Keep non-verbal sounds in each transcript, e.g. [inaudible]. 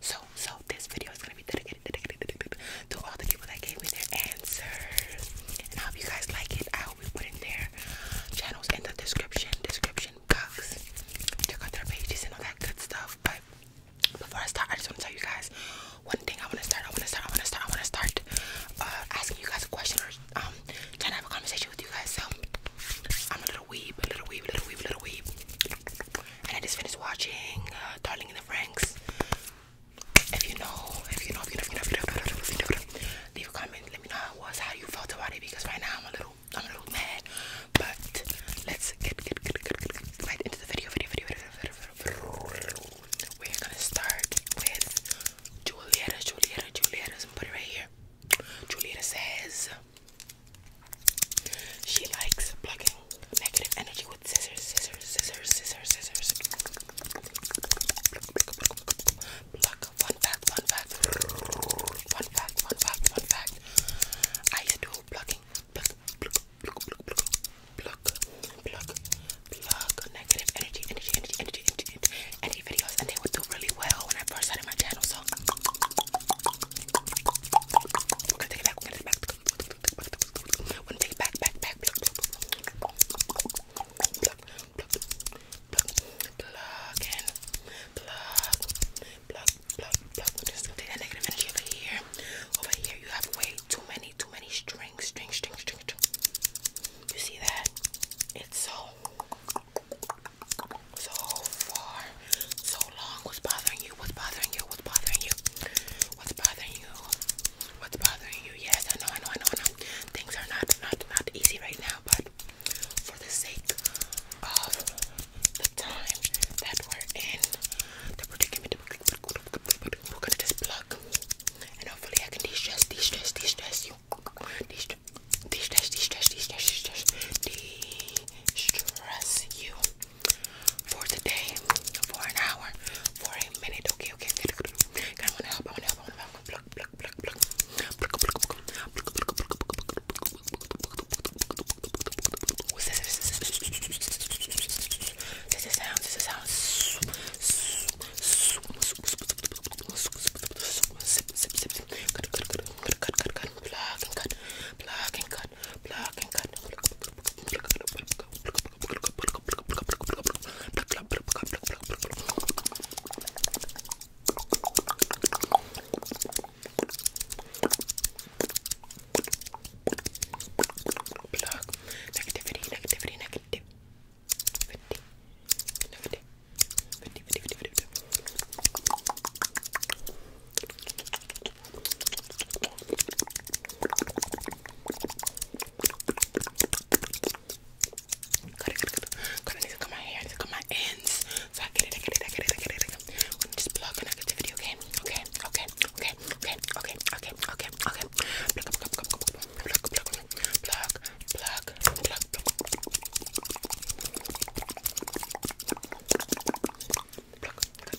So, so this video is gonna be dedicated, dedicated, dedicated to all the people that gave me their answers. And I hope you guys like it. I hope we put in their channels in the description, description box. Check out their pages and all that good stuff. But before I start, I just want to tell you guys one thing. I want to start. I want to start. I want to start. I want to start uh, asking you guys a question or um, trying to have a conversation with you guys. So I'm a little weeb, a little weeb, a little weeb, a little weeb and I just finished watching uh, Darling in the Franks. If you know, if you know, if you know, if you know, if you know, if you know, if you know, if you know leave a comment. Let me know how it was, how you felt about it, because right now I'm a little, I'm a little mad. But let's get, get, get, get, get, get right into the video. Video, video, video, video, video, video. We're gonna start with Julieta, Julieta, Julieta's and put it right here. Julieta says. She likes plucking negative energy with scissors, scissors, scissors, scissors, scissors. Pluck. Fun fact, fun fact. Fun fact, fun fact, fun fact. I do plucking. Pluck, pluck, pluck, pluck, pluck, pluck, pluck, pluck. Negative energy, energy, energy, energy, energy, energy videos, and they would do really well when I first started my channel. So. We're gonna take it back, we're gonna take it back, one take back, back, back. Pluck, pluck, pluck, and pluck, pluck, pluck, pluck. Just take that negative energy over here. Over here, you have way too many, too many strings, string, string, string, You see that? It's so, so far so long? What's bothering you? What's bothering you? What's bothering you? What's bothering you? What's bothering you? Yes, I know, I know, I know, I know. Things are not not not easy right now, but for the sake of the time that we're in, the predicament we're gonna just plug and hopefully I can de-stress, de-stress, de-stress you. De-stress, de-stress, de-stress, de-stress, de-stress, de-stress you for today, for an hour, for a minute. Okay, okay, okay. I wanna help, I wanna help, I wanna help. Pluck, pluck, pluck, pluck. Pluck, pluck, pluck. What's this? This is sound, this is sound. Sip, sip, sip. Cut, cut, cut, cut, cut, cut, cut. Plug and cut, plug and cut cut, pluck and cut. Pluck. Negativity, negativity, negativity. Negativity. Negativity, negativity, negativity. Cut it, cut it, cut it. I need to cut my hair, I need to cut my ends. So I get it, I get it, I get it, I get it, I get it. I'm just plug and I get the video, okay? Okay, okay, okay, okay, okay, okay, okay, okay. Plug, plug, plug, plug, plug, plug, plug, plug, plug, plug. Plug, plug,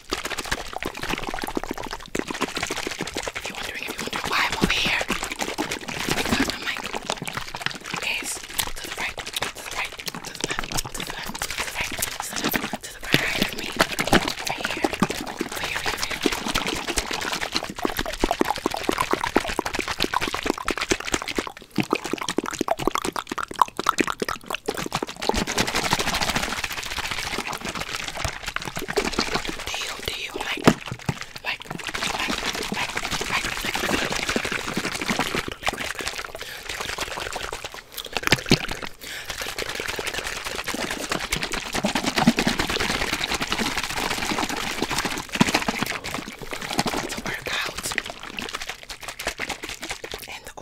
If you're wondering, if you're wondering why I'm over here, because I'm like, okay, it's to the right, to the right, to the left, to the left, to the right, to the left, to the right of me, right here, over here, over here. Over here. Do you, do you like, like, like, like, like, it's a workout and the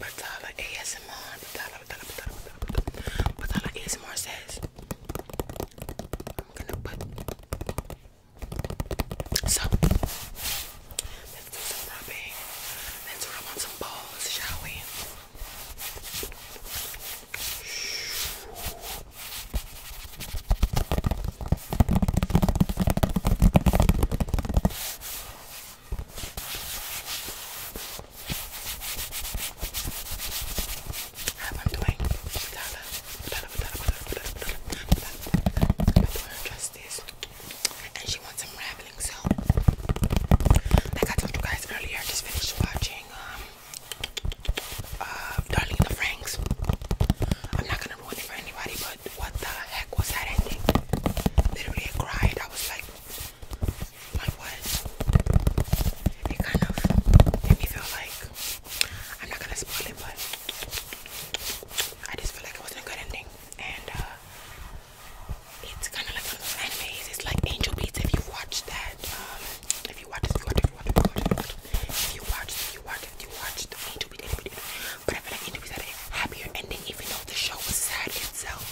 Patala ASMR, Patala, Patala, Patala, Patala, Patala ASMR says, I'm gonna put, so, let's do some rubbing, let's rub on some balls, shall we? Have on the this. And she wants some rambling, so like I told you guys earlier, just finished watching um, uh, Darling the Franks. I'm not gonna ruin it for anybody, but what the heck was that ending? Literally, I cried. I was like, like what? It kind of made me feel like I'm not gonna spoil it, but I just feel like it wasn't a good ending. And uh, it's kind of like those animes. It's like Angel Beats. If you've watched that. Um, if you watch this, if you watch it, if you watch it, if you watch it, if you watch it, if you watch it, if you watch it, if you watch it, if you watch it, if you watch it, but I feel like Interviews had a happier ending, even though the show was sad itself.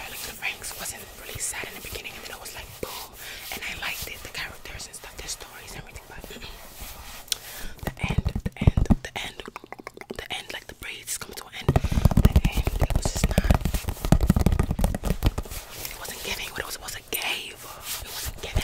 But like the Franks wasn't really sad in the beginning, and then it was like boom, and I liked it, the characters and stuff, their stories, everything. But the end, the end, the end, the end, like the braids come to an end. The end, it was just not. It wasn't giving what it was supposed to give. It wasn't giving.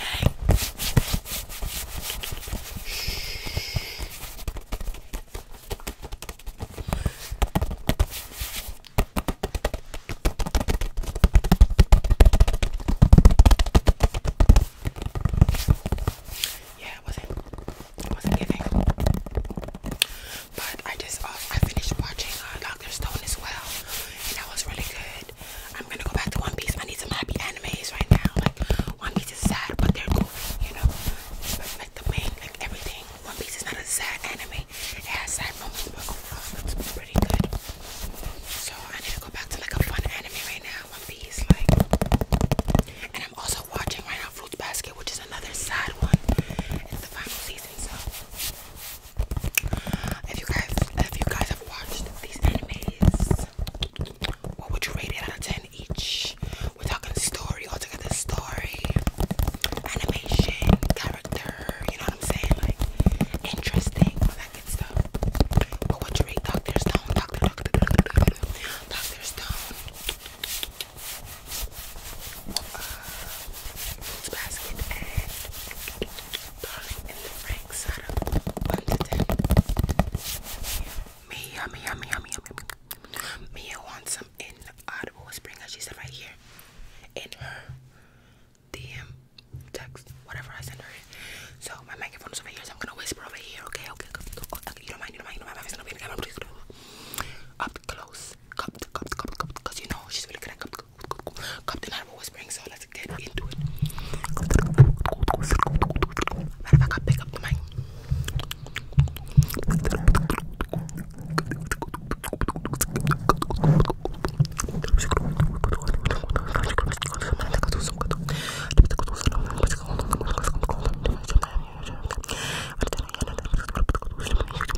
Yeah, it wasn't. It wasn't giving. But I just uh, I finished watching uh, Doctor Stone as well, and that was really good. I'm gonna go back to One Piece. I need some happy animes right now. Like One Piece is sad, but they're cool, you know. But like the main, like everything. One Piece is not a sad anime. It has sad moments, but overall it's pretty good. So I need to go back to like a fun anime right now. One Piece, like. And I'm also watching right now Fruits Basket, which is another sad one. It's the final season, so if you guys, if you guys have watched these animes, what would you rate it out of ten each? We're talking story, all together story, animation, character. You know what I'm saying? Like interesting, all that good stuff. What would you rate Doctor Stone? Doctor, Doctor, Doctor, Doctor, Doctor Stone. Fruits Basket and Darling in the Frank Sada wants some inaudible whispering, as she said right here in DM text, whatever I send her So my microphone is over here, I'm gonna whisper over here, okay? Okay, okay, okay. you don't mind, you don't mind, you don't mind. I'm just going Up close, cup to cup to cup, cup, because you know she's really good at cup Compton Animal Whispering, so let's get into it. Matter of fact, I'll pick up the mic.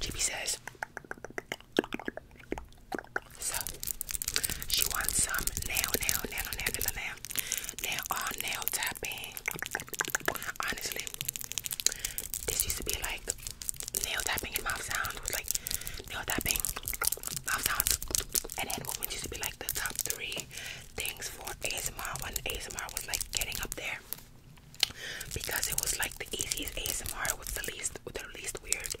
Jimmy says so she wants some nail nail nail nail nail nail nail nail all nail tapping Honestly, this used to be like nail tapping and mouth sound. was like nail tapping, mouth sounds, and then women used to be like the top three things for ASMR when ASMR was like getting up there because it was like the easiest ASMR. was the least, the least weird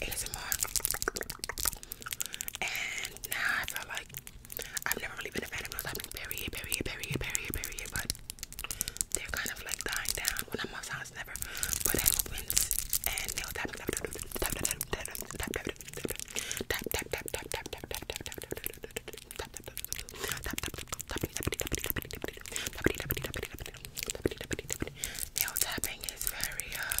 ASMR. And now I feel like I've never really been a fan of those. I've been period, period, period, period, period, but they're kind of like dying down. When I'm outside, it's never. But head movements and nail tapping, tap, tap, tap, tap, tap, tap, tap, tap, tap, tap, tap, tap, tap, tap, tap, tap, tap, Nail tapping is very uh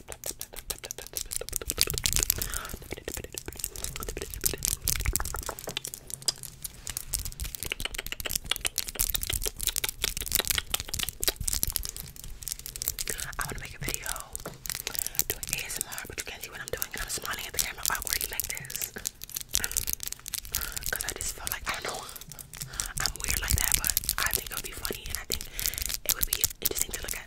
I want to make a video doing ASMR, but you can't see what I'm doing, and I'm smiling at the camera awkwardly like this. Because I just felt like, I don't know, I'm weird like that, but I think it would be funny, and I think it would be interesting to look at.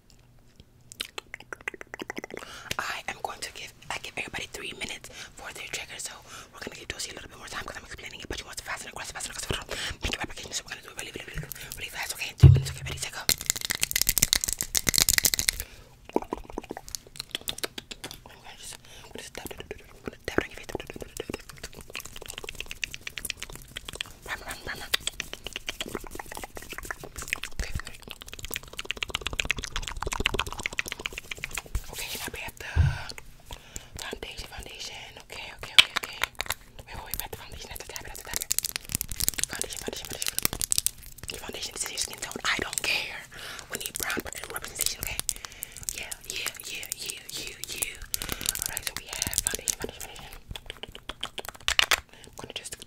I am going to give I give everybody three minutes for their trigger, so we're gonna give Josie a little bit more time because I'm explaining it, but she wants to fast and aggressive, fast Make your application, so we're gonna do it really, really, really, fast. Okay, three minutes. Okay, ready, set, go. Okay, now we have the foundation, foundation. Okay, okay, okay, okay. Wait, wait, wait, we have the foundation. That's the tap, that's the tap. Foundation, foundation, foundation. Your foundation is your skin tone. I don't care. We need brown representation, okay? Yeah, yeah, yeah, yeah, yeah, yeah. Alright, so we have foundation, foundation, foundation. I'm gonna just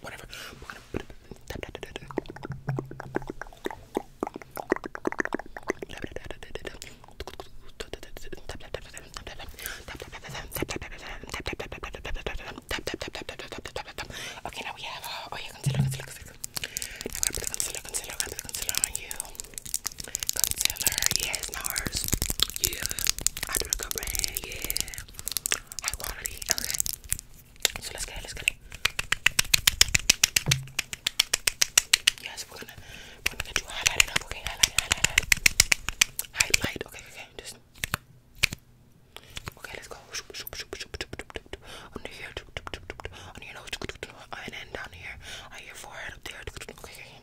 whatever. Okay, now we have. Uh, oh, yeah, concealer, concealer, concealer. Now I'm gonna put the concealer, concealer, I'm gonna put the concealer on you. Concealer, yes, Mars. Yeah, I do a good brand, yeah high quality. Okay. So let's get it, let's get it. Yes, we're gonna we're gonna get you highlighted up, okay? Highlight, highlight, highlight. Highlight, okay, okay, just Okay, let's go. Under here, under your nose, and then down here, on your forehead, up there. Okay,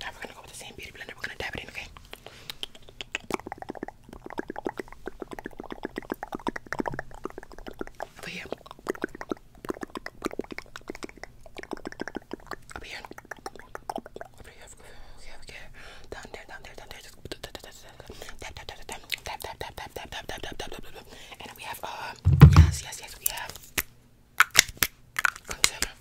now we're gonna go with the same beauty blender. We're gonna dab it in, okay? Over here. Over here. Over here. Okay, okay. Down there, down there, down there. Just tap, tap, tap, tap, tap, tap, tap, tap, tap, tap, tap, tap, tap. And we have, uh, yes, yes, yes, we have concealer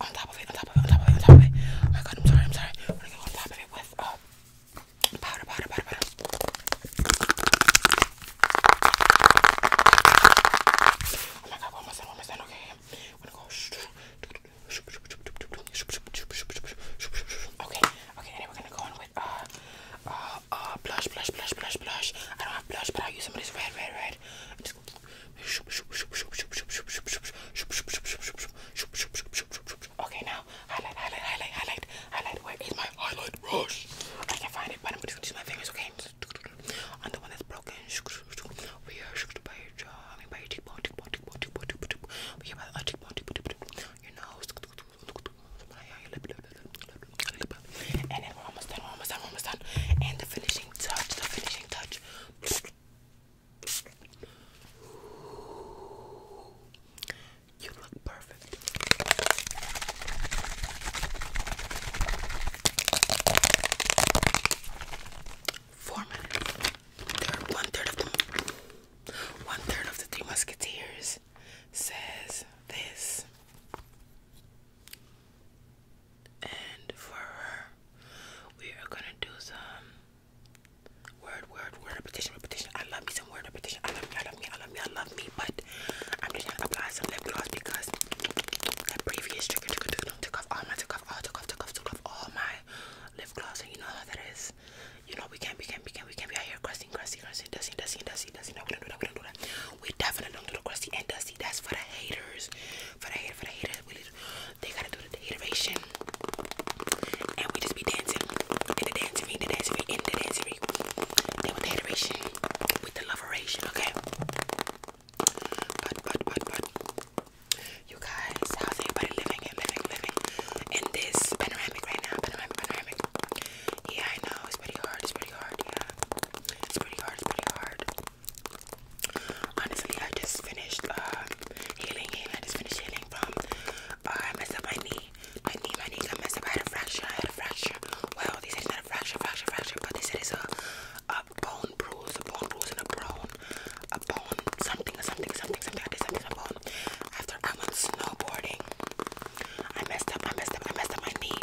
on top of it, on top of it, on top of it, on top of it. Oh my god, I'm sorry, I'm sorry. We're gonna go on top of it with uh, powder, powder, powder, powder. Oh my god, one more time, one more time, okay. We're gonna go. Okay, okay, and then we're gonna go in with uh, uh, uh, blush, blush, blush, blush, blush. I don't have blush, but I'll use some of this red, red, red. I'm Okay, now highlight, highlight, highlight, highlight, highlight. Where is my highlight brush? I can find it, but I'm gonna use my fingers. Okay, on the one that's broken. We are by your jaw, I by your cheekbone, cheekbone, cheekbone, cheekbone, cheekbone. We by the cheekbone, cheekbone, cheekbone. Your nose, and we're almost done. almost done. almost done. And the finishing touch. The finishing touch. You look perfect. Four minutes. one third of the one third of the Three Musketeers says this. And for her, we are gonna do some word, word, word repetition, repetition. I love me some word repetition. I love me, I love me, I love me, I love me. But I'm just gonna apply some lip gloss because the previous trigger took off all my, took off all, took off, took off, took off all my lip gloss. And you know how that is. You know we can't, we can't, we can't, we can't be out here crusting, crusting, crusting, dusting, dusting, dusting, dusting. No, we don't do that. We don't do that. We definitely don't do the crusty and dusty. That's for the haters. For the hater, for the haters. We, they gotta do the hateration. And we just be dancing. In the dancing ring, the dancing ring, in the dancing ring. Then with the hateration. With the loveration, okay? But, but, but, but. You guys, how's everybody living and living, living in this panoramic right now? Panoramic, panoramic. Yeah, I know. It's pretty hard. It's pretty hard. Yeah. It's pretty hard. It's pretty hard. Honestly, I just finished uh, healing, I just finished healing from I uh, messed up my knee. My knee, my knee got messed up. I had a fracture. I had a fracture. Well, they said it's not a fracture, fracture, fracture, but they said it's a, a bone bruise, a bone bruise, and a bone, a bone something, something, something, something. I did something to After I went snowboarding, I messed up. I messed up. I messed up my knee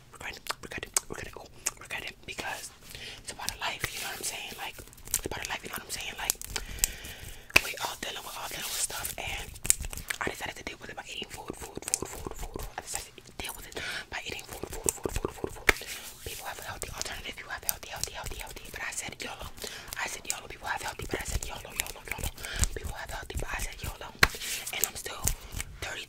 regret it, regret it, regret it, oh, regret it because it's about life, you know what I'm saying? Like, it's about life, you know what I'm saying? Like, we all deal with all dealing with stuff, and I decided to deal with it by eating food, food, food, food, food. I decided to deal with it by eating food, food, food, food, food, People have a healthy alternative, you have healthy, healthy, healthy, healthy, but I said YOLO. I said YOLO, people have healthy, but I said YOLO, YOLO, YOLO. People have healthy, but I said YOLO. And I'm still 30,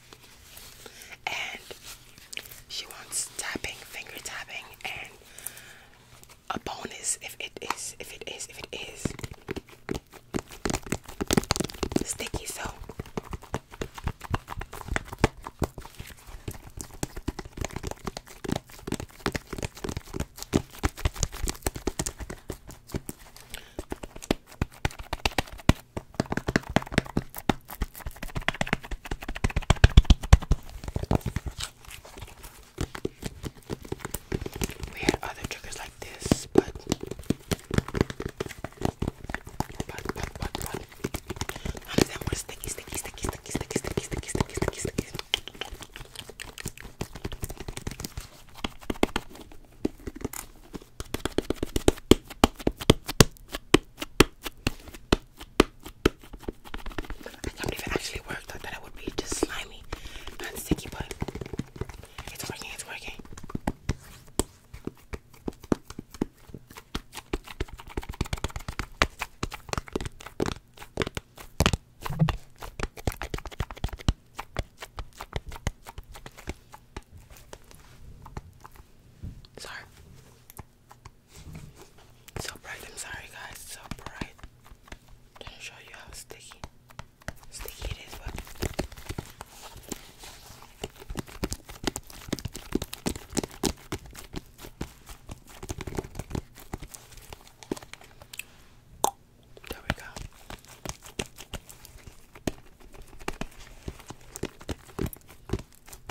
and she wants tapping, finger tapping, and a bonus if it is, if it is, if it is sticky. So we had other triggers like this, but but but but but none of them were sticky, sticky, sticky, sticky, sticky, sticky, sticky, sticky, sticky, sticky. I can't believe it actually worked. I thought it would be just slimy and sticky, but it's working, it's working. Sorry. So bright, I'm sorry guys, so bright. show you how sticky sticky it is, but there we go.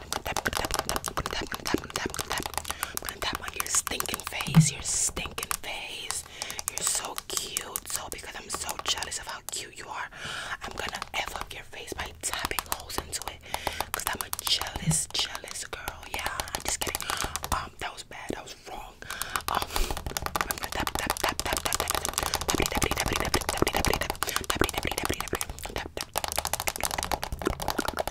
I'm gonna tap, tap, tap, tap, tap, tap, tap. i tap on your stinking face, your stinking face. You're so cute. So because I'm so jealous of how cute you are, I'm gonna F up your face by tapping holes into it. Cause I'm a jealous, jealous girl. Yeah, I'm just kidding. Um, that was bad, that was wrong.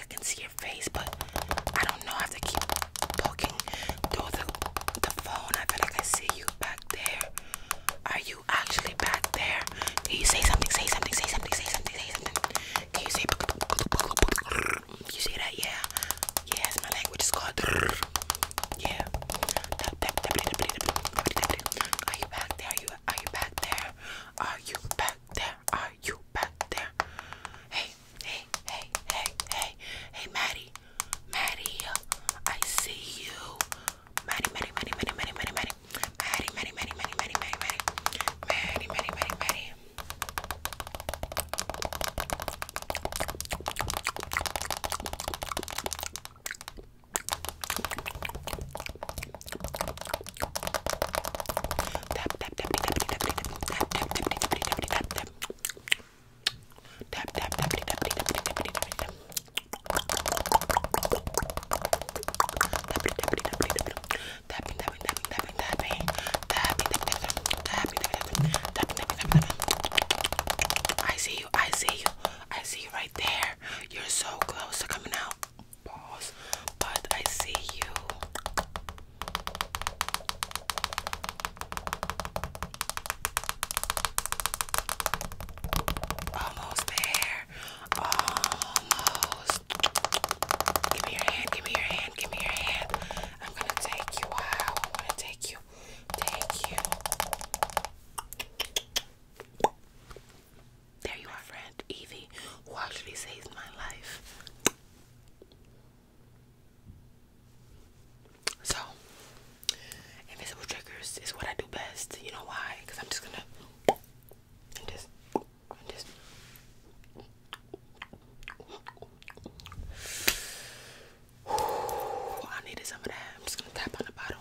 I can see your face, but I don't know. I have to keep poking through the, the phone. I feel like I see you back there. Are you actually back there? Can you say something? Say something. Say something. Say something. Say something. Can you say? You see that? Yeah. Yes, my language is called. Yeah. Are you back there? Are you? Are you back there? Are you back back there? Are you back there? Hey, hey, hey, hey, hey, hey, Maddie, Maddie, I see you. Maddie, Maddie, Maddie, Maddie, Maddie, Maddie, Maddie, Maddie, Maddie, Maddie, Maddie, Maddie, Maddie, Maddie, Maddie, Maddie, Maddie, Maddie. Tap tap tap tap tap tap tap tap tap tap Tap tap tap tap tap tap tap tap Tapping, tapping, tapping, tapping, tapping, tapping, tapping, tapping, tapping, tapping, I see you, I see you, I see you right there. You're so close to coming out balls, but I see you. Almost there. Almost. Give me your hand, give me your hand, give me your hand. I'm gonna take you I'm gonna take you. Take you. There you are, friend Evie, who actually save my life. So, invisible triggers is what I do best. You know why? Because I'm just gonna [sighs] I needed some of that. I'm just gonna tap on the bottle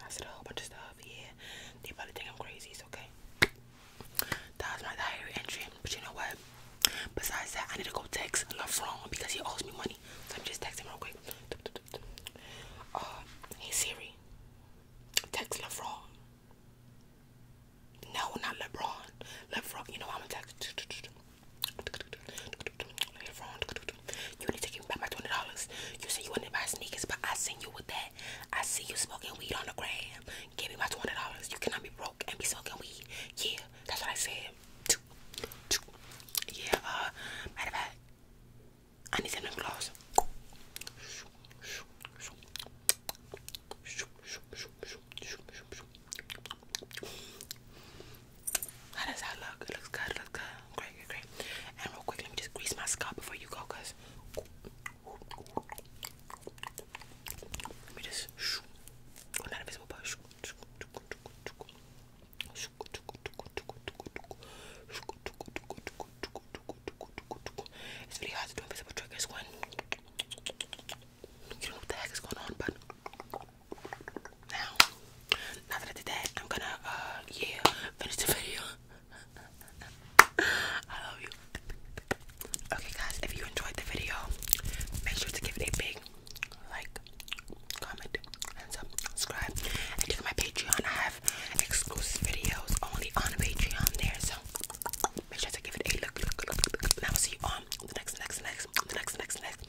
I said a whole bunch of stuff. Yeah, they probably think I'm crazy. It's okay. That was my diary entry. But you know what? Besides that, I need to go text Lebron because he owes me money. So I'm just texting real quick. Uh, hey Siri, text Lebron. No, not LeBron. LeBron, you know I'm gonna text. LeBron, you need to give me back my twenty dollars. You said you wanted to buy sneakers, but I seen you with that. I see you smoking weed on the gram. Give me my twenty dollars. You cannot be broke and be smoking weed. Yeah, that's what I said. Yeah, uh, matter of fact, I need some lip gloss. How does that look? It looks good, looks good. Great, great, And real quick, let me just grease my scalp before you go, cause it's really hard to do invisible triggers when you don't know what the heck is going on, but now, now that I did that, I'm gonna, uh, yeah, finish the video. I love you. Okay, guys, if you enjoyed the video, make sure to give it a big like, comment, and subscribe. And check my Patreon. I have exclusive videos only on Patreon there. So make sure to give it a look. And I will see you on the next, next, next, the next, next, next video.